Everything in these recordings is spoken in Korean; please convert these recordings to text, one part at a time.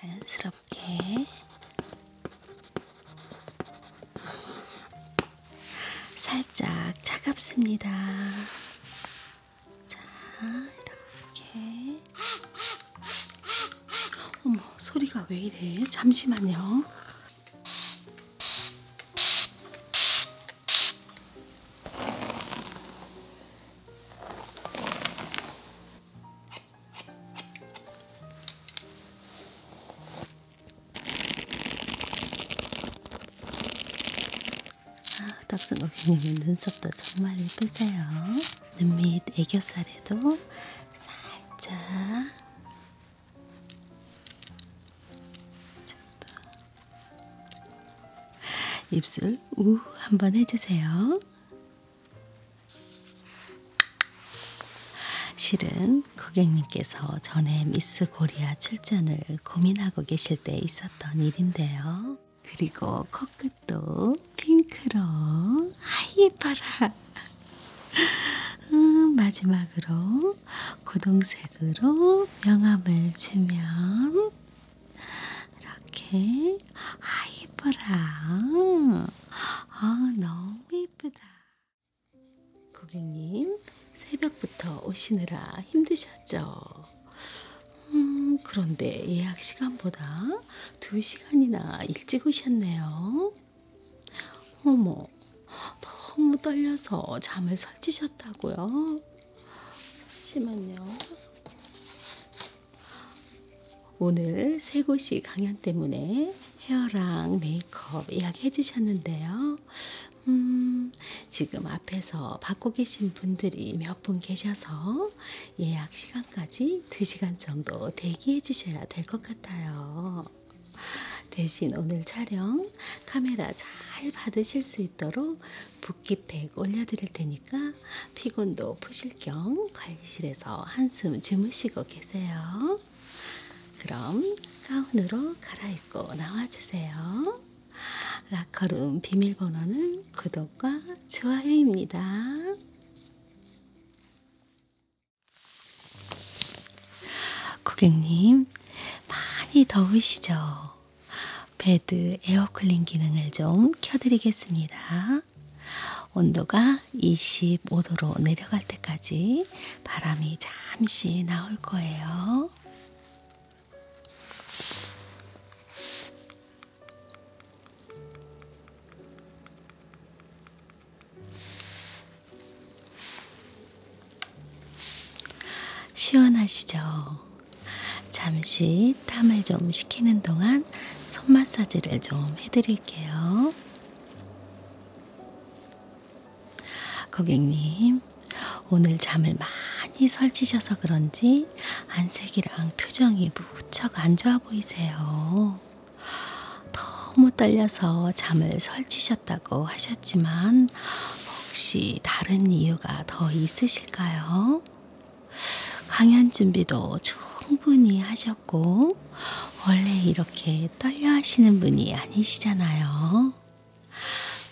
자연스럽게 살짝 차갑습니다. 자, 이렇게. 어머, 소리가 왜 이래? 잠시만요. 아, 덕선 고객님은 눈썹도 정말 예쁘세요. 눈밑 애교살에도 살짝 입술 우 한번 해주세요. 실은 고객님께서 전에 미스 코리아 출전을 고민하고 계실 때 있었던 일인데요. 그리고 코끝도 핑크로 아이뻐라. 음, 마지막으로 고동색으로 명암을 주면 이렇게 아이브라우. 아, 너무 이쁘다. 고객님, 새벽부터 오시느라 힘드셨죠? 음, 그런데 예약 시간보다 2시간이나 일찍 오셨네요. 어머, 너무 떨려서 잠을 설치셨다고요? 잠시만요. 오늘 세 곳이 강연 때문에 헤어랑 메이크업 이야기 해주셨는데요. 음, 지금 앞에서 받고 계신 분들이 몇 분 계셔서 예약 시간까지 2시간 정도 대기해 주셔야 될 것 같아요. 대신 오늘 촬영 카메라 잘 받으실 수 있도록 붓기팩 올려드릴 테니까 테니까 피곤도 푸실 겸 관리실에서 한숨 주무시고 계세요. 그럼 가운으로 갈아입고 나와주세요. 라커룸 비밀번호는 구독과 좋아요입니다. 고객님, 많이 더우시죠? 베드 에어클린 기능을 좀 켜드리겠습니다. 겁니다. 온도가 25도로 내려갈 때까지 바람이 잠시 나올 거예요. 시원하시죠? 잠시 땀을 좀 식히는 동안 동안 손 마사지를 좀 해드릴게요. 고객님, 오늘 잠을 많이 설치셔서 그런지 안색이랑 표정이 무척 안 좋아 보이세요. 너무 떨려서 잠을 설치셨다고 하셨지만, 혹시 다른 이유가 더 있으실까요? 강연 준비도 충분히 하셨고, 원래 이렇게 떨려 하시는 분이 아니시잖아요.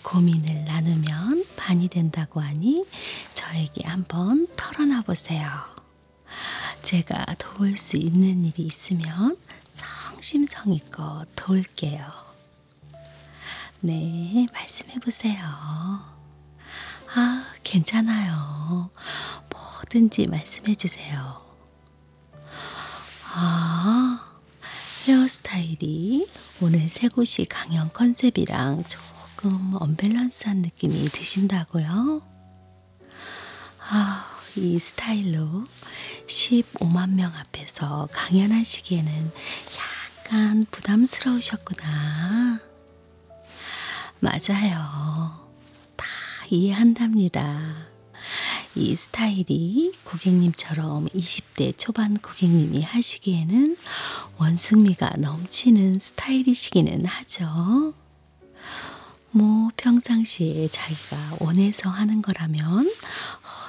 고민을 나누면 반이 된다고 하니 저에게 한번 털어놔 보세요. 제가 도울 수 있는 일이 있으면 성심성의껏 도울게요. 네, 말씀해 보세요. 아, 괜찮아요. 뭐든지 말씀해 주세요. 아, 헤어스타일이 오늘 세 곳이 강연 컨셉이랑 조금 언밸런스한 느낌이 드신다고요? 아, 이 스타일로 15만 명 앞에서 강연하시기에는 약간 부담스러우셨구나. 맞아요. 다 이해한답니다. 이 스타일이 고객님처럼 20대 초반 고객님이 하시기에는 원숭미가 넘치는 스타일이시기는 하죠. 뭐 평상시에 자기가 원해서 하는 거라면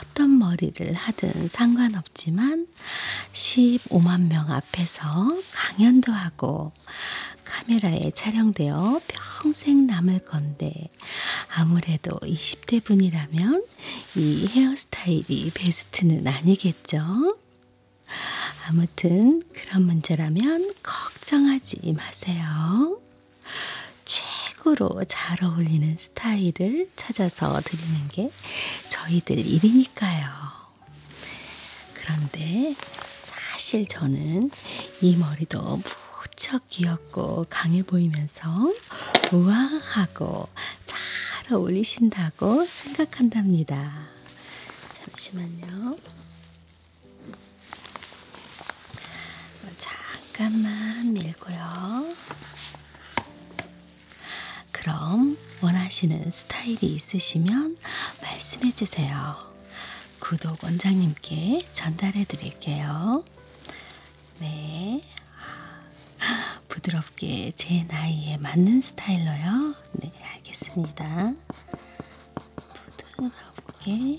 어떤 머리를 하든 상관없지만 15만 명 앞에서 강연도 하고 있어요. 카메라에 촬영되어 평생 남을 건데 아무래도 20대 분이라면 이 헤어스타일이 베스트는 아니겠죠? 아무튼 그런 문제라면 걱정하지 마세요. 최고로 잘 어울리는 스타일을 찾아서 드리는 게 저희들 일이니까요. 그런데 사실 저는 이 머리도 무척 귀엽고 강해 보이면서 우아하고 잘 어울리신다고 생각한답니다. 잠시만요. 잠깐만 밀고요. 그럼 좀 원하시는 스타일이 있으시면 말씀해 주세요. 구독 원장님께 전달해 드릴게요. 네. 아, 부드럽게 제 나이에 맞는 스타일로요. 네, 알겠습니다. 부드럽게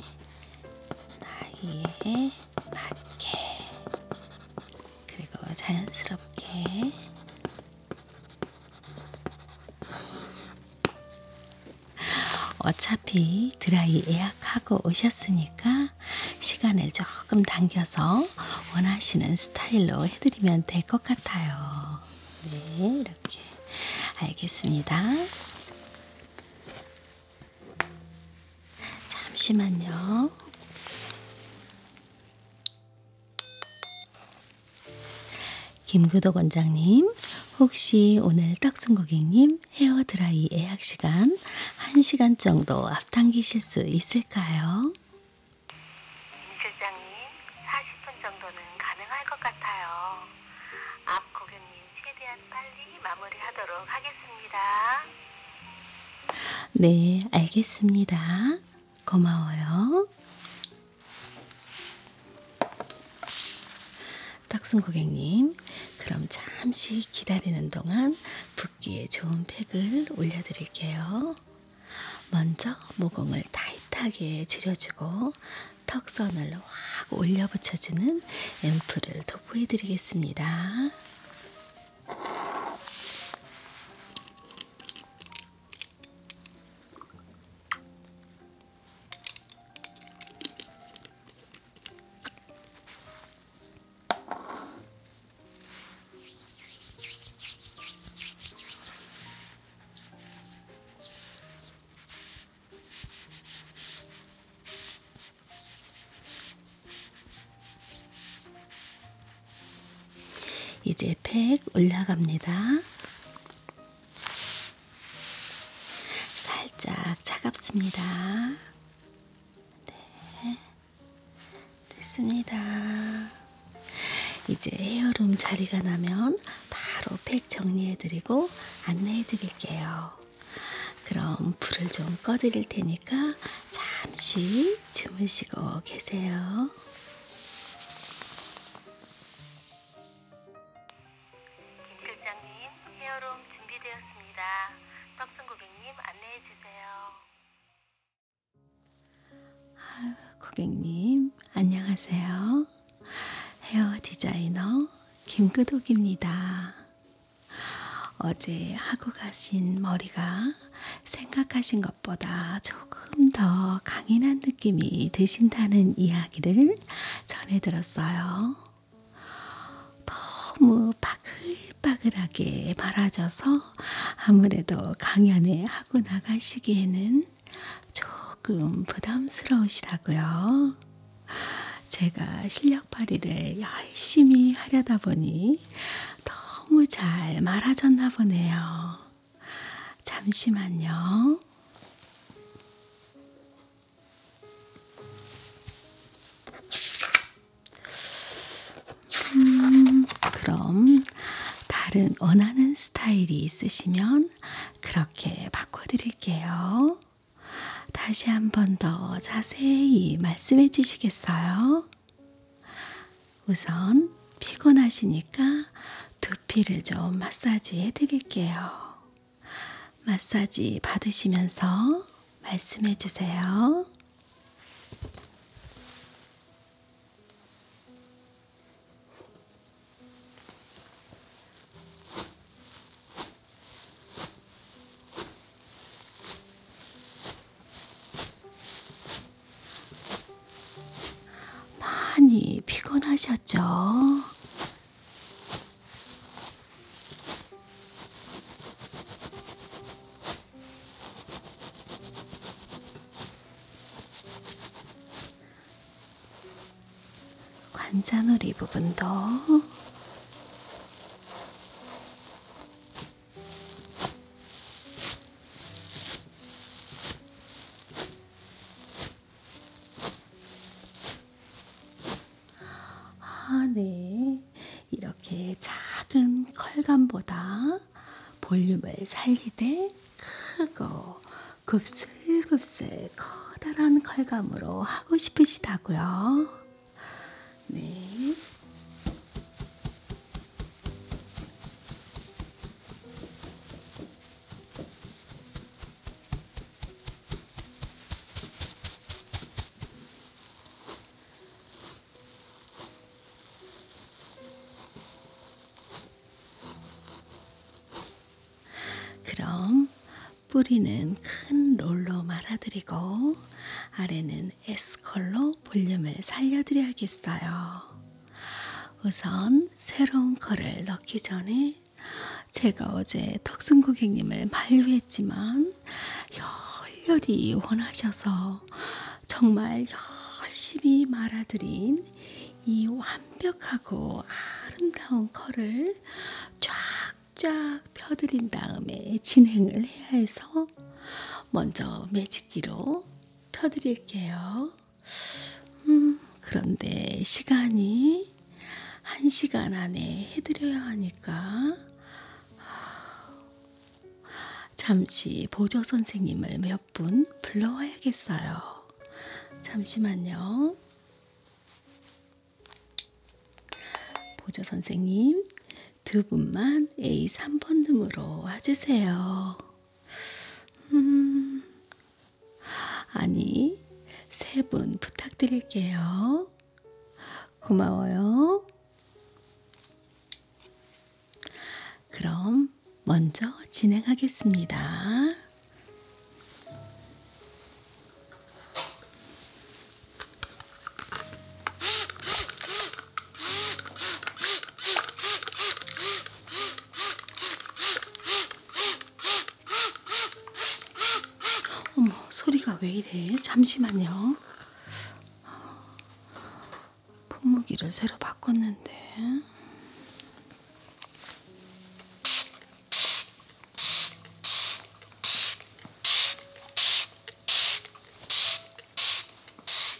나이에 맞게 그리고 자연스럽게 어차피 드라이 예약하고 오셨으니까 시간을 조금 당겨서 원하시는 스타일로 해드리면 될 것 같아요. 네, 이렇게. 알겠습니다. 잠시만요. 김규덕 원장님, 혹시 오늘 떡순 고객님 헤어 드라이 예약 시간 1시간 정도 앞당기실 수 있을까요? 실장님, 40분 정도는 가능할 것 같아요. 앞 고객님 최대한 빨리 마무리하도록 하겠습니다. 네, 알겠습니다. 고마워요. 떡순 고객님, 그럼 잠시 기다리는 동안 붓기에 좋은 팩을 올려드릴게요. 먼저 모공을 타이트하게 줄여주고 턱선을 확 올려 붙여주는 앰플을 도포해드리겠습니다. 이제 팩 올라갑니다. 살짝 차갑습니다. 네. 됐습니다. 이제 헤어룸 자리가 나면 바로 팩 정리해드리고 안내해드릴게요. 그럼 불을 좀 꺼드릴 테니까 잠시 주무시고 계세요. 김 실장님, 헤어룸 준비되었습니다. 떡순 고객님 안내해 주세요. 고객님, 안녕하세요. 헤어 디자이너 김끄독입니다. 어제 하고 가신 머리가 생각하신 것 것보다 조금 더 강인한 느낌이 드신다는 이야기를 전해 들었어요. 너무 바글바글하게 말아져서 아무래도 강연에 하고 나가시기에는 조금 부담스러우시다고요. 제가 실력 발휘를 열심히 하려다 보니 너무 잘 말아졌나 보네요. 잠시만요. 음, 그럼 다른 원하는 스타일이 있으시면 그렇게 바꿔드릴게요. 다시 한 번 더 자세히 말씀해 주시겠어요? 우선 피곤하시니까 두피를 좀 마사지 해드릴게요. 마사지 받으시면서 말씀해 주세요. 많이 피곤하셨죠? 관자놀이 부분도 아, 네. 이렇게 작은 컬감보다 볼륨을 살리되 크고 곱슬곱슬 커다란 컬감으로 하고 싶으시다고요. 네. 그럼 뿌리는 큰 롤로 말아드리고 아래는 S컬로 볼륨을 살려드려야겠어요. 우선 새로운 거를 넣기 전에 제가 어제 턱순 고객님을 만류했지만 열렬히 원하셔서 정말 열심히 말아드린 이 완벽하고 아름다운 컬을 쫙쫙 펴드린 다음에 진행을 해야 해서 먼저 매직기로 펴드릴게요. 음, 그런데 시간이 한 시간 안에 해드려야 하니까 잠시 보조 선생님을 몇 분 불러와야겠어요. 잠시만요. 보조 선생님, 두 분만 A3번님으로 와주세요. 음, 아니, 세 분 부탁드릴게요. 고마워요. 그럼 먼저 진행하겠습니다. 어머, 소리가 왜 이래? 잠시만요. 품무기를 새로 바꿨는데.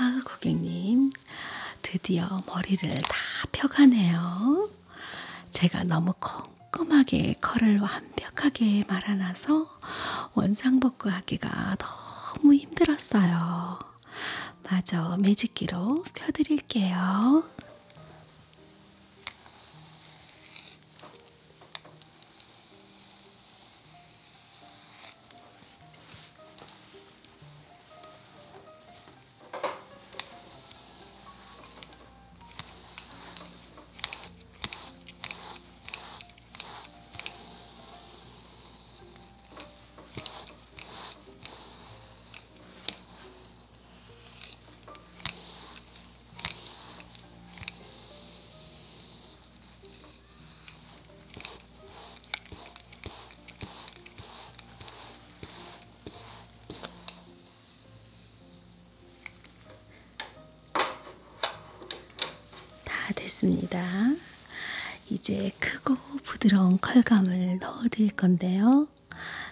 아, 고객님, 드디어 머리를 다 펴가네요. 제가 너무 꼼꼼하게 컬을 완벽하게 말아놔서 원상복구하기가 너무 힘들었어요. 마저 매직기로 펴드릴게요. 다 됐습니다. 이제 크고 부드러운 컬감을 넣어드릴 건데요.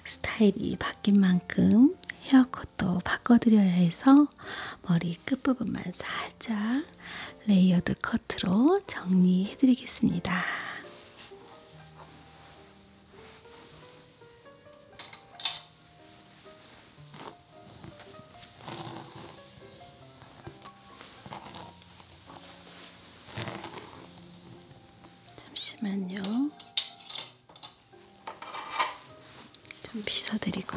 스타일이 바뀐 만큼 헤어컷도 바꿔드려야 해서 머리 끝부분만 살짝 레이어드 커트로 정리해드리겠습니다. 잠시만요. 좀 빗어드리고.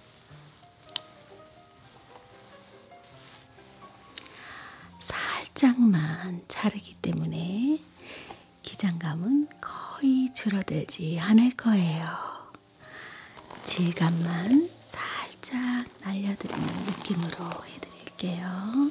살짝만 자르기 때문에 기장감은 거의 줄어들지 않을 거예요. 질감만 살짝 날려드리는 느낌으로 해드릴게요.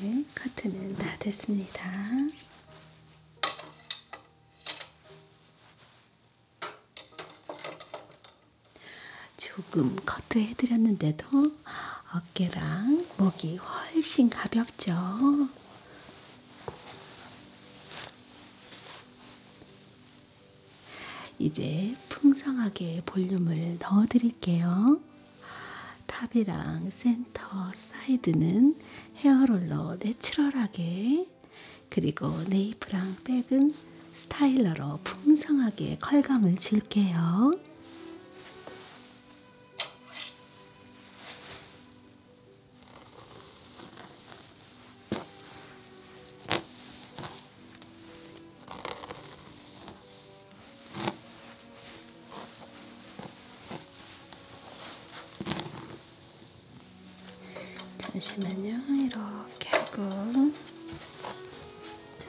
네, 카트는 다 됐습니다. 조금 커트 해드렸는데도 어깨랑 목이 훨씬 가볍죠? 이제 풍성하게 볼륨을 넣어 드릴게요. 탑이랑 센터 사이드는 헤어롤러 내추럴하게 그리고 네이프랑 백은 스타일러로 풍성하게 컬감을 줄게요. 잠시만요. 이렇게 하고 자.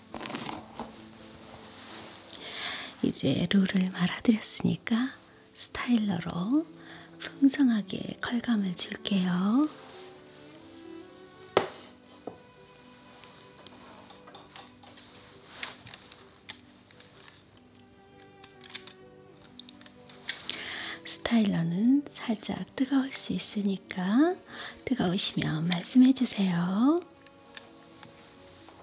이제 롤을 말아드렸으니까 스타일러로 풍성하게 컬감을 줄게요. 스타일러는 살짝 뜨거울 수 있으니까 뜨거우시면 말씀해 주세요.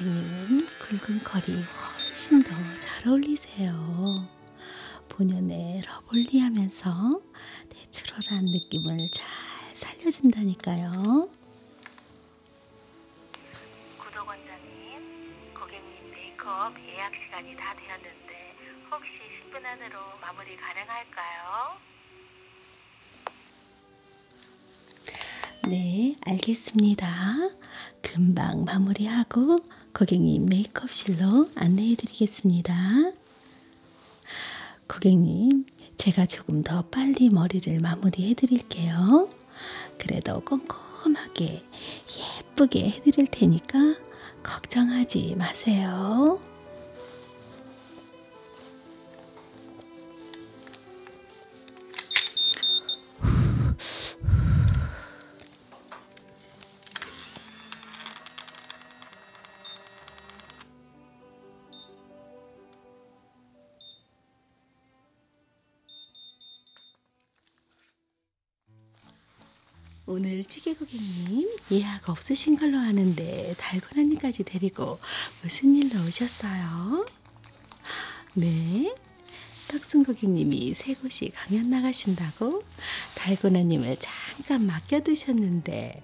고객님은 굵은 컬이 훨씬 더 잘 어울리세요. 본연의 러블리하면서 내추럴한 느낌을 잘 살려준다니까요. 구독원장님, 고객님 메이크업 예약 시간이 다 되었는데 혹시 10분 안으로 마무리 가능할까요? 네, 알겠습니다. 금방 마무리하고 고객님 메이크업실로 안내해 드리겠습니다. 고객님, 제가 조금 더 빨리 머리를 마무리해 드릴게요. 그래도 꼼꼼하게 예쁘게 해 드릴 테니까 걱정하지 마세요. 오늘 찌개 고객님 예약 없으신 걸로 아는데 달고나님까지 데리고 무슨 일로 오셨어요? 네, 떡순 고객님이 세 곳이 강연 나가신다고 달고나님을 잠깐 맡겨두셨는데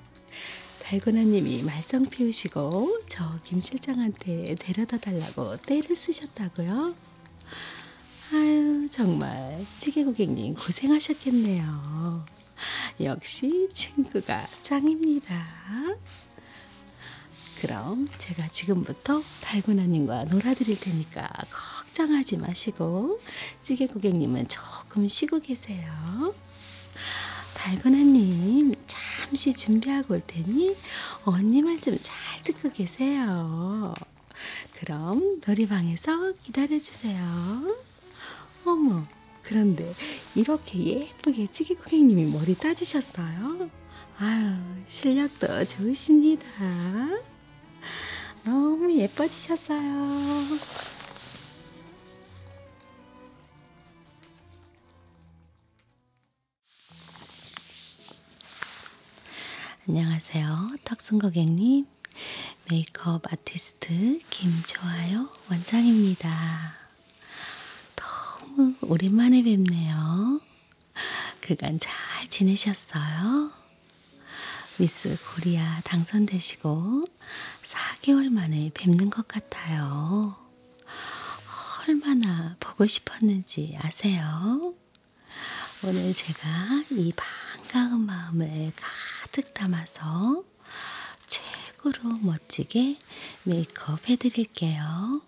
달고나님이 말썽 피우시고 저 김 실장한테 데려다 달라고 떼를 쓰셨다고요? 아유 정말 찌개 고객님 고생하셨겠네요. 역시 친구가 짱입니다. 그럼 제가 지금부터 달고나님과 놀아드릴 테니까 걱정하지 마시고 찌개 고객님은 조금 쉬고 계세요. 달고나님, 잠시 준비하고 올 테니 언니 말 좀 잘 듣고 계세요. 그럼 놀이방에서 기다려주세요. 어머, 그런데 이렇게 예쁘게 찌개 고객님이 머리 따주셨어요? 아유, 실력도 좋으십니다. 너무 예뻐지셨어요. 안녕하세요. 탁순 고객님. 메이크업 아티스트 김조아요 원장입니다. 너무 오랜만에 뵙네요. 그간 잘 지내셨어요? 미스 코리아 당선되시고 4개월 만에 뵙는 것 같아요. 얼마나 보고 싶었는지 아세요? 오늘 제가 이 반가운 마음을 가득 담아서 최고로 멋지게 메이크업 해드릴게요.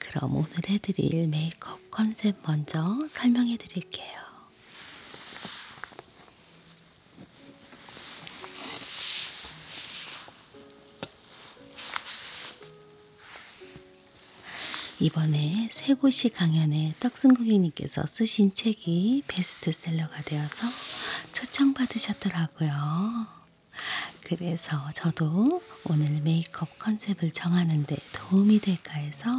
그럼 오늘 해드릴 메이크업 컨셉 먼저 설명해드릴게요. 이번에 세고시 강연에 떡순 고객님께서 쓰신 책이 베스트셀러가 되어서 초청받으셨더라고요. 그래서 저도 오늘 메이크업 컨셉을 정하는데 도움이 될까 해서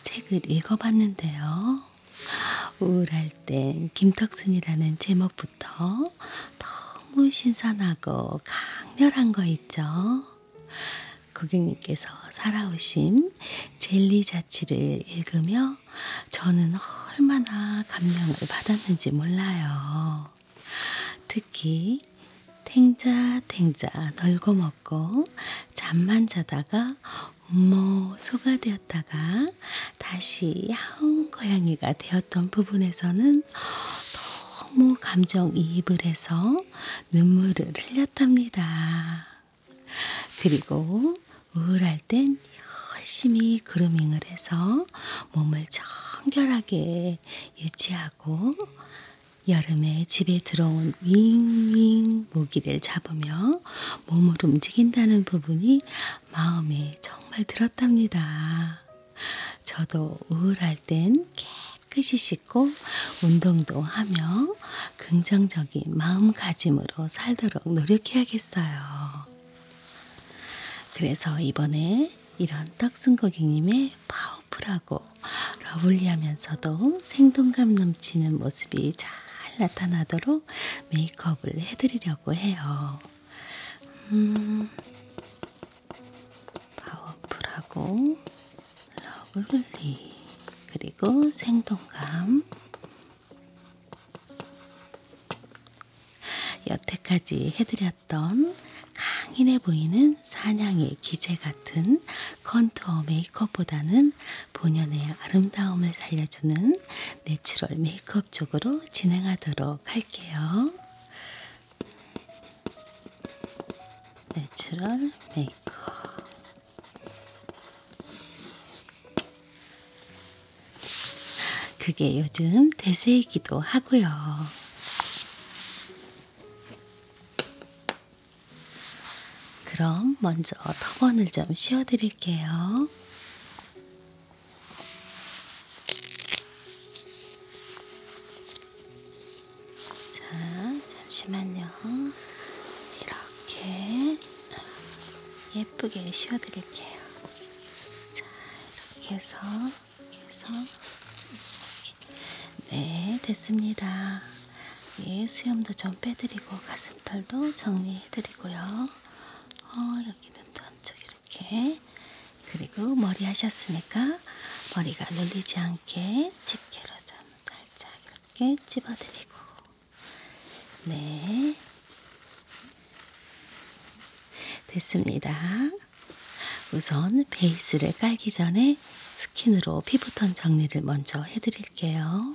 책을 읽어봤는데요. 우울할 땐 김떡순이라는 제목부터 때부터 너무 신선하고 강렬한 거 있죠. 고객님께서 살아오신 젤리 자취를 읽으며 저는 얼마나 감명을 받았는지 몰라요. 특히 탱자탱자 널고 먹고 잠만 자다가 음모 소가 되었다가 다시 야옹 고양이가 되었던 부분에서는 너무 감정이입을 해서 눈물을 흘렸답니다. 그리고 우울할 땐 열심히 그루밍을 해서 몸을 청결하게 유지하고 여름에 집에 들어온 윙윙 모기를 잡으며 몸을 움직인다는 부분이 마음이 정말 들었답니다. 저도 우울할 땐 깨끗이 씻고 운동도 하며 긍정적인 마음가짐으로 살도록 노력해야겠어요. 그래서 이번에 이런 떡순 고객님의 파워풀하고 러블리하면서도 생동감 넘치는 모습이 잘 나타나도록 메이크업을 해드리려고 해요. 음, 파워풀하고 러블리 그리고 생동감 여태까지 해드렸던 강인해 보이는 사냥의 기재 같은 컨투어 메이크업보다는 본연의 아름다움을 살려주는 내추럴 메이크업 쪽으로 진행하도록 할게요. 내추럴 메이크업. 그게 요즘 대세이기도 하고요. 그럼 먼저 터번을 좀 씌워드릴게요. 자, 잠시만요. 이렇게 예쁘게 씌워 드릴게요. 자, 이렇게 해서, 이렇게 해서, 이렇게. 네, 됐습니다. 예, 수염도 좀 빼드리고, 가슴털도 정리해드리고요. 어, 여기는 또 한쪽에 이렇게. 그리고 머리 하셨으니까 머리가 눌리지 않게 집게로 좀 살짝 이렇게 집어드리고. 네. 됐습니다. 우선 베이스를 깔기 전에 스킨으로 피부톤 정리를 먼저 해드릴게요.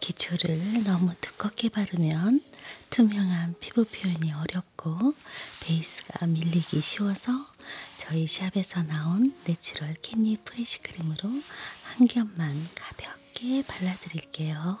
기초를 너무 두껍게 바르면 투명한 피부 표현이 어렵고 베이스가 밀리기 쉬워서 저희 샵에서 나온 내추럴 캣닙 프레쉬 크림으로 한 겹만 가볍게 발라드릴게요.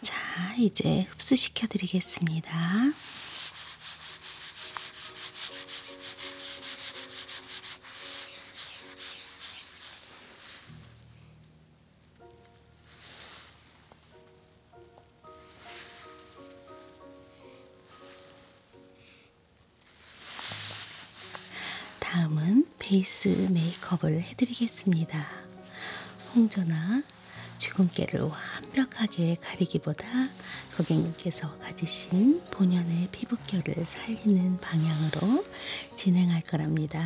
자, 이제 흡수시켜 드리겠습니다. 다음은 베이스 메이크업을 해드리겠습니다. 홍조나 주근깨를 완벽하게 가리기보다 고객님께서 가지신 본연의 피부결을 살리는 방향으로 진행할 거랍니다.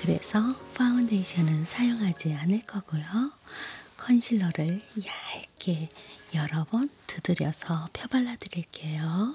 그래서 파운데이션은 사용하지 않을 거고요. 컨실러를 얇게 여러 번 두드려서 펴발라 드릴게요.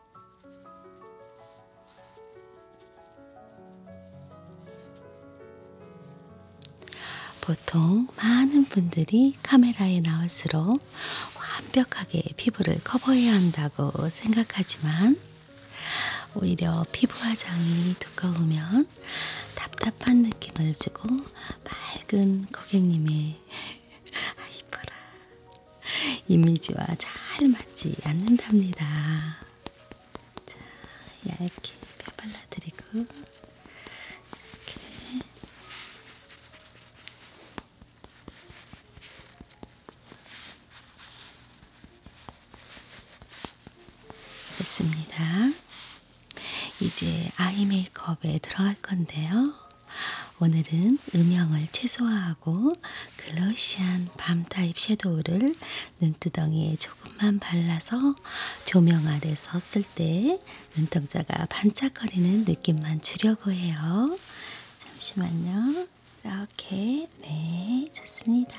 보통 많은 분들이 카메라에 나올수록 완벽하게 피부를 커버해야 한다고 생각하지만 오히려 피부 화장이 두꺼우면 답답한 느낌을 주고 맑은 고객님의 아이뻐라 이미지와 잘 맞지 않는답니다. 자, 얇게 펴 발라드리고 이렇게 좋습니다. 이제 아이 메이크업에 들어갈 건데요. 오늘은 음영을 최소화하고 글로시한 밤 타입 섀도우를 눈두덩이에 조금만 발라서 조명 아래서 쓸 때 눈동자가 반짝거리는 느낌만 주려고 해요. 잠시만요. 이렇게 네 좋습니다.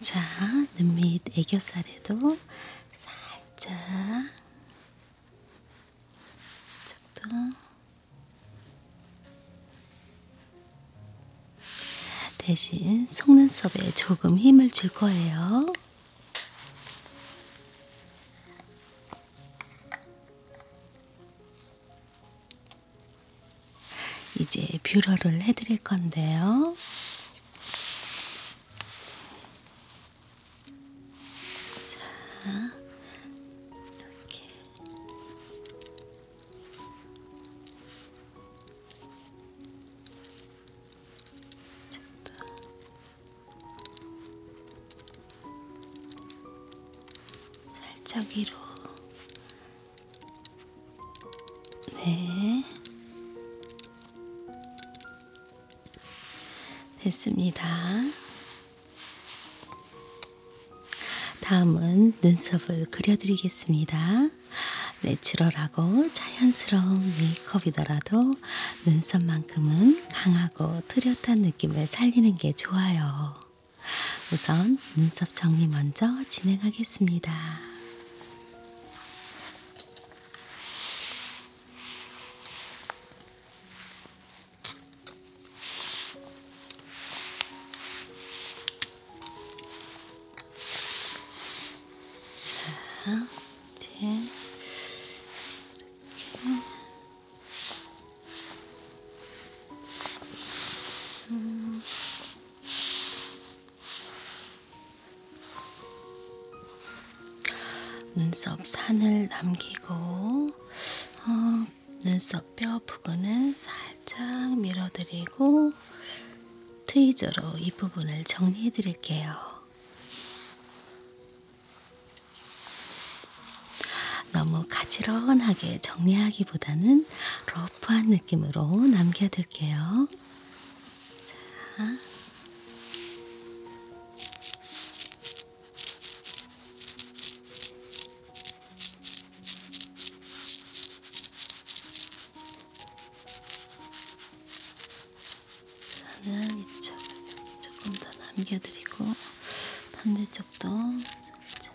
자, 눈밑 애교살에도 살짝 짝도 대신 속눈썹에 조금 힘을 줄 거예요. 이제 뷰러를 해드릴 건데요. 자, 이렇게. 됐다. 살짝 위로. 네. 됐습니다. 다음은 눈썹을 그려드리겠습니다. 내추럴하고 자연스러운 메이크업이더라도 있고요. 눈썹만큼은 강하고 뚜렷한 느낌을 살리는 게 좋아요. 우선 눈썹 정리 먼저 진행하겠습니다. 자, 이제 음. 눈썹 산을 남기고 어, 눈썹 뼈 부분은 살짝 밀어드리고 트위저로 이 부분을 정리해 드릴게요. 너무 가지런하게 정리하기보다는 러프한 느낌으로 남겨둘게요. 자. 나는 이쪽을 조금 더 남겨드리고 반대쪽도 살짝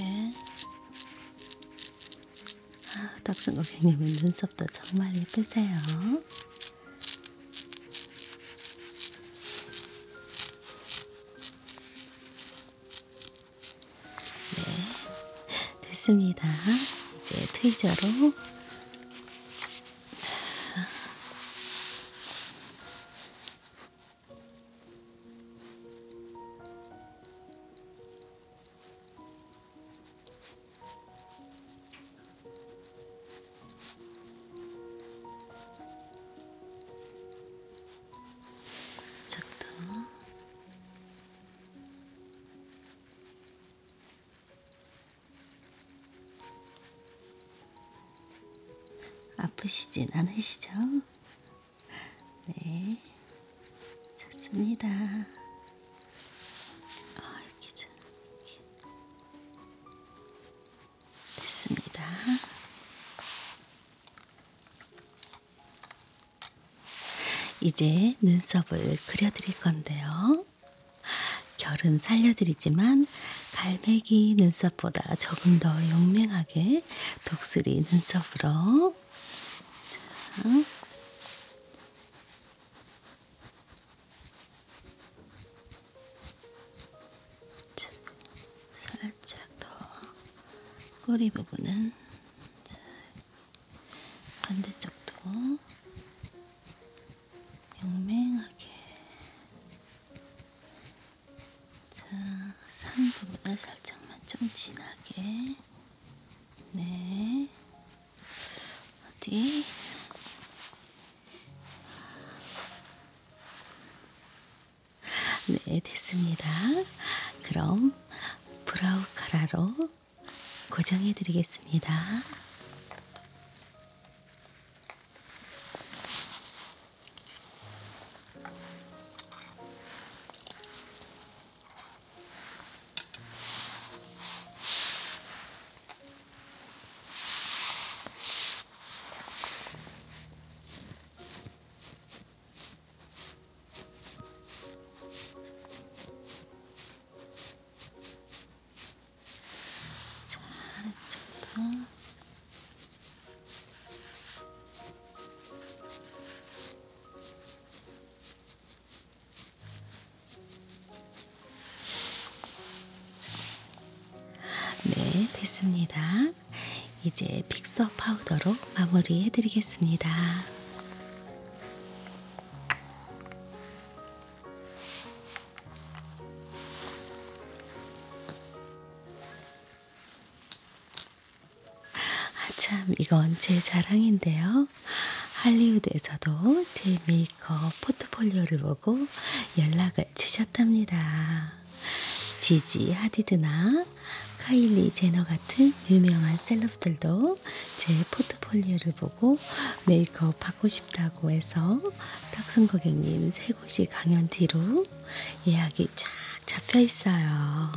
예. 아, 덕순 고객님은 눈썹도 정말 예쁘세요. 네, 됐습니다. 이제 트위저로 자. 작다. 아프시진 않으시죠? 네, 좋습니다. 아, 이렇게 좀 이렇게. 됐습니다. 이제 눈썹을 그려드릴 건데요. 결은 살려드리지만 갈매기 눈썹보다 조금 더 용맹하게 독수리 눈썹으로 자. 자, 살짝 더 꼬리 부분은 자, 반대쪽도 용맹하게 자 상부보다 살짝만 좀 진하게 네 어디 네 됐습니다. 그럼 브라우 카라로 고정해 드리겠습니다. 자, 아래쪽도. 네, 됐습니다. 이제 픽서 파우더로 마무리해 드리겠습니다. 아참 이건 제 자랑인데요. 할리우드에서도 제 메이크업 포트폴리오를 보고 연락을 주셨답니다. 지지 하디드나 카일리 제너 같은 유명한 셀럽들도 분께서 제 포트폴리오를 보고 메이크업 하고 싶다고 해서 탁순 고객님 세 곳이 강연 뒤로 예약이 쫙 잡혀 있어요.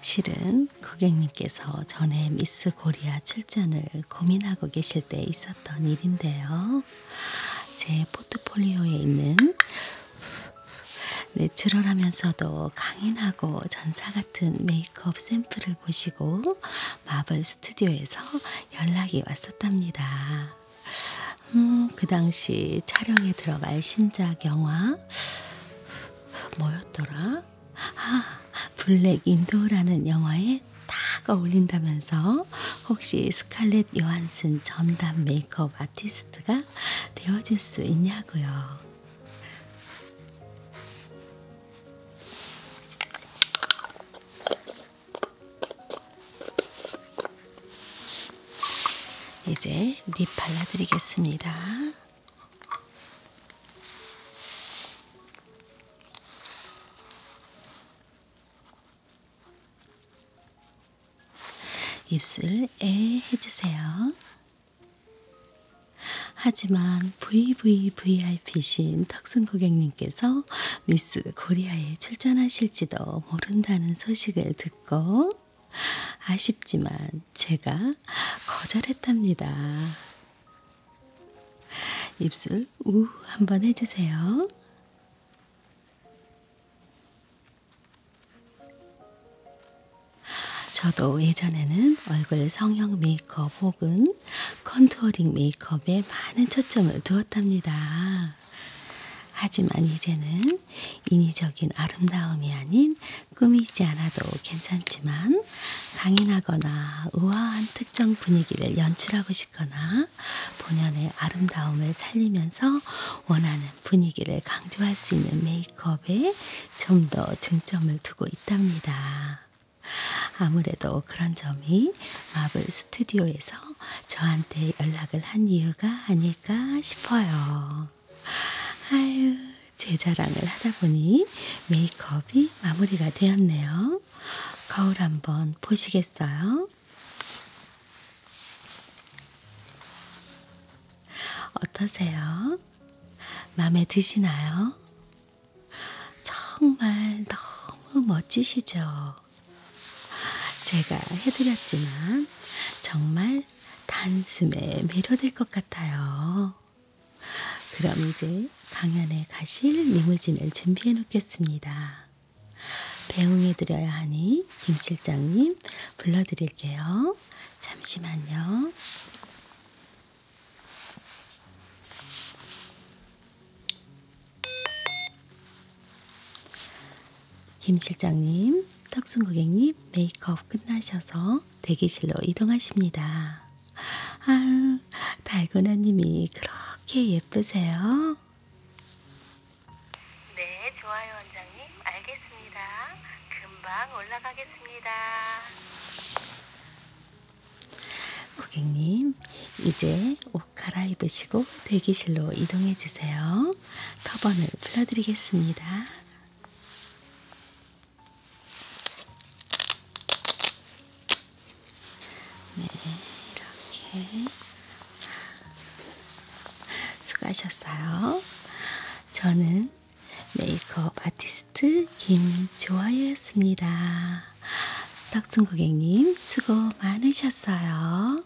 실은 건 고객님께서 전에 미스 코리아 출전을 고민하고 계실 때 있었던 일인데요. 제 포트폴리오에 있는 내추럴하면서도 강인하고 전사 같은 메이크업 샘플을 보시고 마블 스튜디오에서 연락이 왔었답니다. 음, 그 당시 촬영에 들어갈 신작 영화 뭐였더라? 아, 블랙 인도라는 영화에 딱 어울린다면서 혹시 스칼렛 요한슨 전담 메이크업 아티스트가 되어줄 수 있냐고요. 이제 립 발라드리겠습니다. 입술 에 해주세요. 하지만 VVVIP신 턱순 고객님께서 미스 코리아에 출전하실지도 모른다는 소식을 듣고 아쉽지만 제가 거절했답니다. 입술 우 한번 해주세요. 저도 예전에는 얼굴 성형 메이크업 혹은 컨투어링 메이크업에 많은 초점을 두었답니다. 하지만 이제는 인위적인 아름다움이 아닌 꾸미지 않아도 괜찮지만 있다면 음? 강인하거나 우아한 특정 분위기를 연출하고 싶거나 본연의 아름다움을 살리면서 원하는 분위기를 강조할 수 있는 메이크업에 좀 더 중점을 두고 있답니다. 아무래도 그런 점이 마블 스튜디오에서 저한테 연락을 한 이유가 아닐까 싶어요. 아유, 제 자랑을 하다 보니 메이크업이 마무리가 되었네요. 거울 한번 보시겠어요? 어떠세요? 마음에 드시나요? 정말 너무 멋지시죠? 제가 해드렸지만 정말 단숨에 매료될 것 같아요. 그럼 이제 강연에 가실 리무진을 준비해 놓겠습니다. 배웅해 드려야 하니 김 실장님 불러드릴게요. 잠시만요. 김 실장님, 턱순 고객님 메이크업 끝나셔서 대기실로 이동하십니다. 아유, 달고나님이 그렇게 예쁘세요? 네, 좋아요, 원장님. 알겠습니다. 금방 올라가겠습니다. 고객님, 이제 옷 갈아입으시고 대기실로 이동해 주세요. 터번을 풀어드리겠습니다. 네, 이렇게 수고하셨어요. 저는 메이크업 아티스트 김조아였습니다. 덕순 고객님 수고 많으셨어요.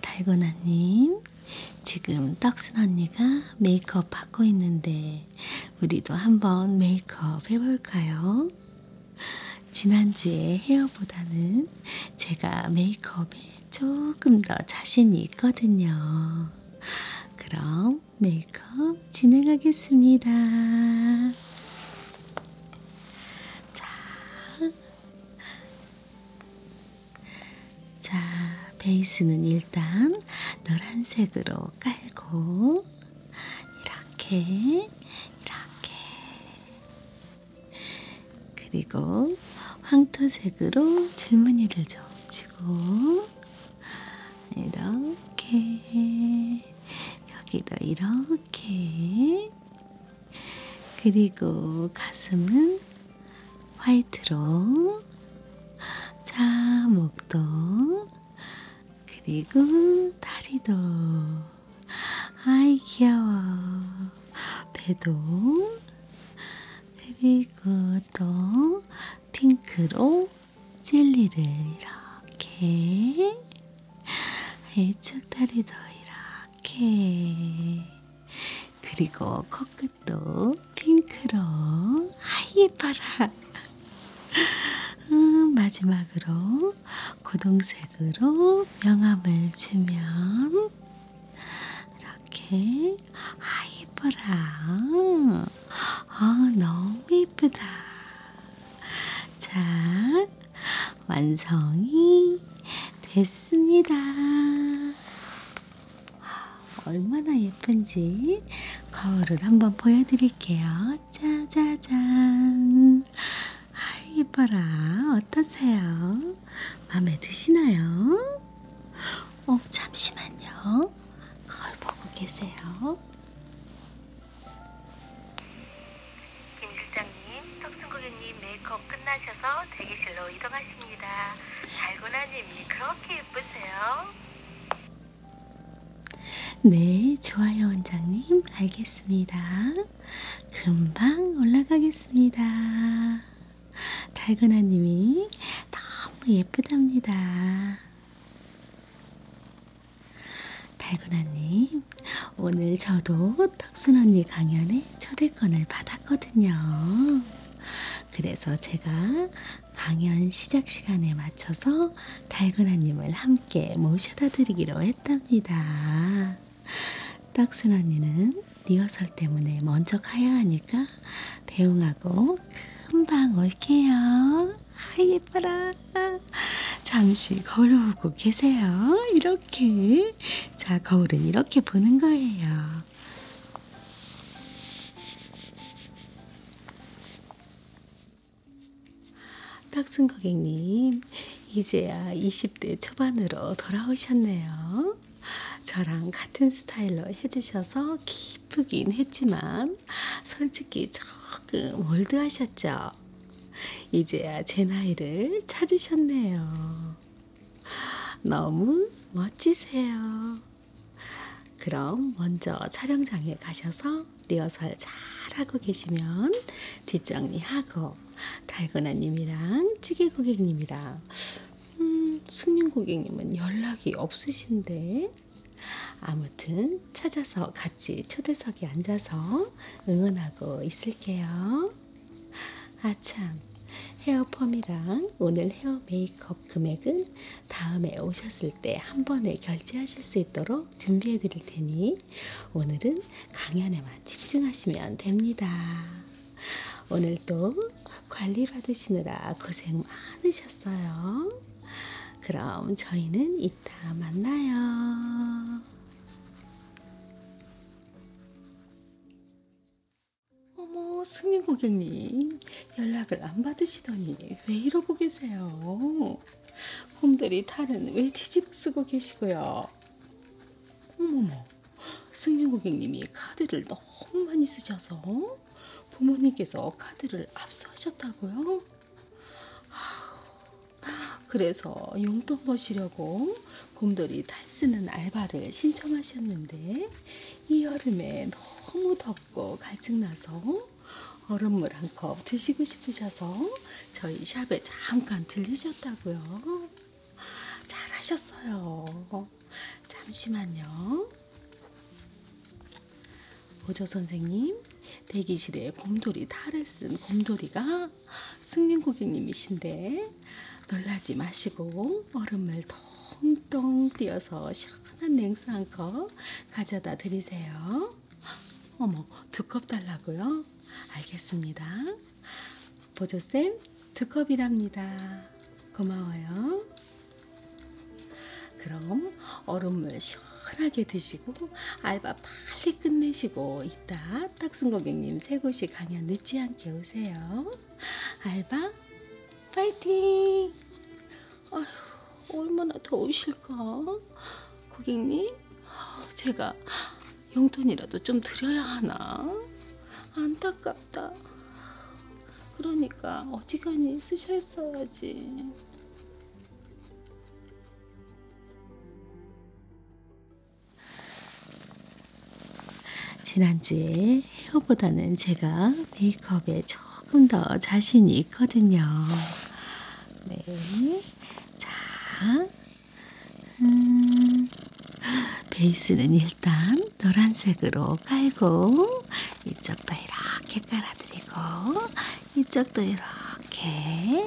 달고나님, 지금 떡순 언니가 메이크업 받고 있는데 우리도 한번 메이크업 해볼까요? 지난주에 헤어보다는 제가 메이크업에 조금 더 자신이 있거든요. 그럼 메이크업 진행하겠습니다. 자, 자, 베이스는 일단 노란색으로 깔고, 이렇게, 이렇게. 그리고 황토색으로 줄무늬를 좀 주고, 이렇게 여기도 이렇게 그리고 가슴은 화이트로 자 목도 그리고 다리도 아이 귀여워 배도 그리고 또 핑크로 젤리를 이렇게 해축다리도 이렇게 그리고 코끝도 핑크로 하이파라 음, 마지막으로 고동색으로 명암을 주면 이렇게 아이뻐라 아, 너무 예쁘다 자, 완성이 됐습니다. 얼마나 예쁜지 거울을 한번 보여드릴게요. 짜자잔. 아, 예뻐라. 어떠세요? 마음에 드시나요? 어, 잠시만요. 거울 보고 계세요. 김 실장님, 턱순 고객님 메이크업 끝나셔서 대기실로 이동하십니다. 달고나님이 그렇게 예쁘세요. 네, 좋아요 원장님. 알겠습니다. 금방 올라가겠습니다. 달고나님이 너무 예쁘답니다. 달고나님, 오늘 저도 턱순 언니 강연에 초대권을 받았거든요. 그래서 제가 강연 시작 시간에 맞춰서 달고나님을 함께 모셔다 드리기로 했답니다. 턱순 언니는 리허설 때문에 먼저 가야 하니까 배웅하고 금방 올게요. 아 예뻐라. 잠시 거울 보고 계세요. 이렇게. 자, 거울은 이렇게 보는 거예요. 딱순 고객님, 이제야 20대 초반으로 돌아오셨네요. 저랑 같은 스타일로 해주셔서 기쁘긴 했지만, 솔직히 조금 월드하셨죠? 이제야 제 나이를 찾으셨네요. 너무 멋지세요. 그럼 먼저 촬영장에 가셔서 리허설 잘 하고 계시면 뒷정리하고 달고나님이랑 찌개 고객님이랑 음, 승님 고객님은 연락이 없으신데 아무튼 찾아서 같이 초대석에 앉아서 응원하고 있을게요. 아참, 헤어펌이랑 오늘 헤어 메이크업 금액은 다음에 오셨을 때 한 번에 결제하실 수 있도록 준비해 드릴 테니 오늘은 강연에만 집중하시면 됩니다. 오늘도 관리 받으시느라 고생 많으셨어요. 그럼 저희는 이따 만나요. 어머, 승윤 고객님. 연락을 안 받으시더니 왜 이러고 계세요? 곰돌이 탈은 왜 뒤집어 쓰고 계시고요? 어머머, 승윤 고객님이 카드를 너무 많이 쓰셔서 부모님께서 카드를 압수하셨다고요? 그래서 용돈 버시려고 곰돌이 탈쓰는 알바를 신청하셨는데 이 여름에 너무 덥고 갈증나서 얼음물 한 컵 드시고 싶으셔서 저희 샵에 잠깐 들리셨다고요. 잘하셨어요. 잠시만요. 오조 선생님, 대기실에 곰돌이 탈을 쓴 곰돌이가 승윤 고객님이신데 놀라지 마시고 얼음을 통통 띄어서 시원한 냉수 한 컵 가져다 드리세요. 어머, 두 컵 달라고요? 알겠습니다. 보조쌤, 두 컵이랍니다. 고마워요. 그럼 얼음물 시원하게 드시고 알바 빨리 끝내시고 이따 딱순 고객님 세 곳이 강연 늦지 않게 오세요. 알바 파이팅! 아휴, 얼마나 더우실까? 고객님, 제가 용돈이라도 좀 드려야 하나? 안타깝다. 그러니까 어지간히 쓰셨어야지. 지난주에 헤어보다는 제가 메이크업에 조금 더 자신이 있거든요. 네. 자, 음, 베이스는 일단 노란색으로 깔고, 이쪽도 이렇게 깔아드리고, 이쪽도 이렇게.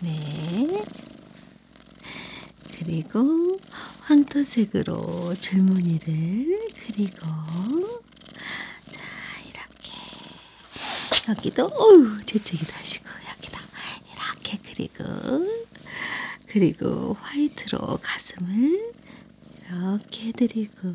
네. 그리고 황토색으로 줄무늬를 그리고 자 이렇게 여기도 어우 재채기도 하시고 여기다 이렇게 그리고 그리고 화이트로 가슴을 이렇게 해드리고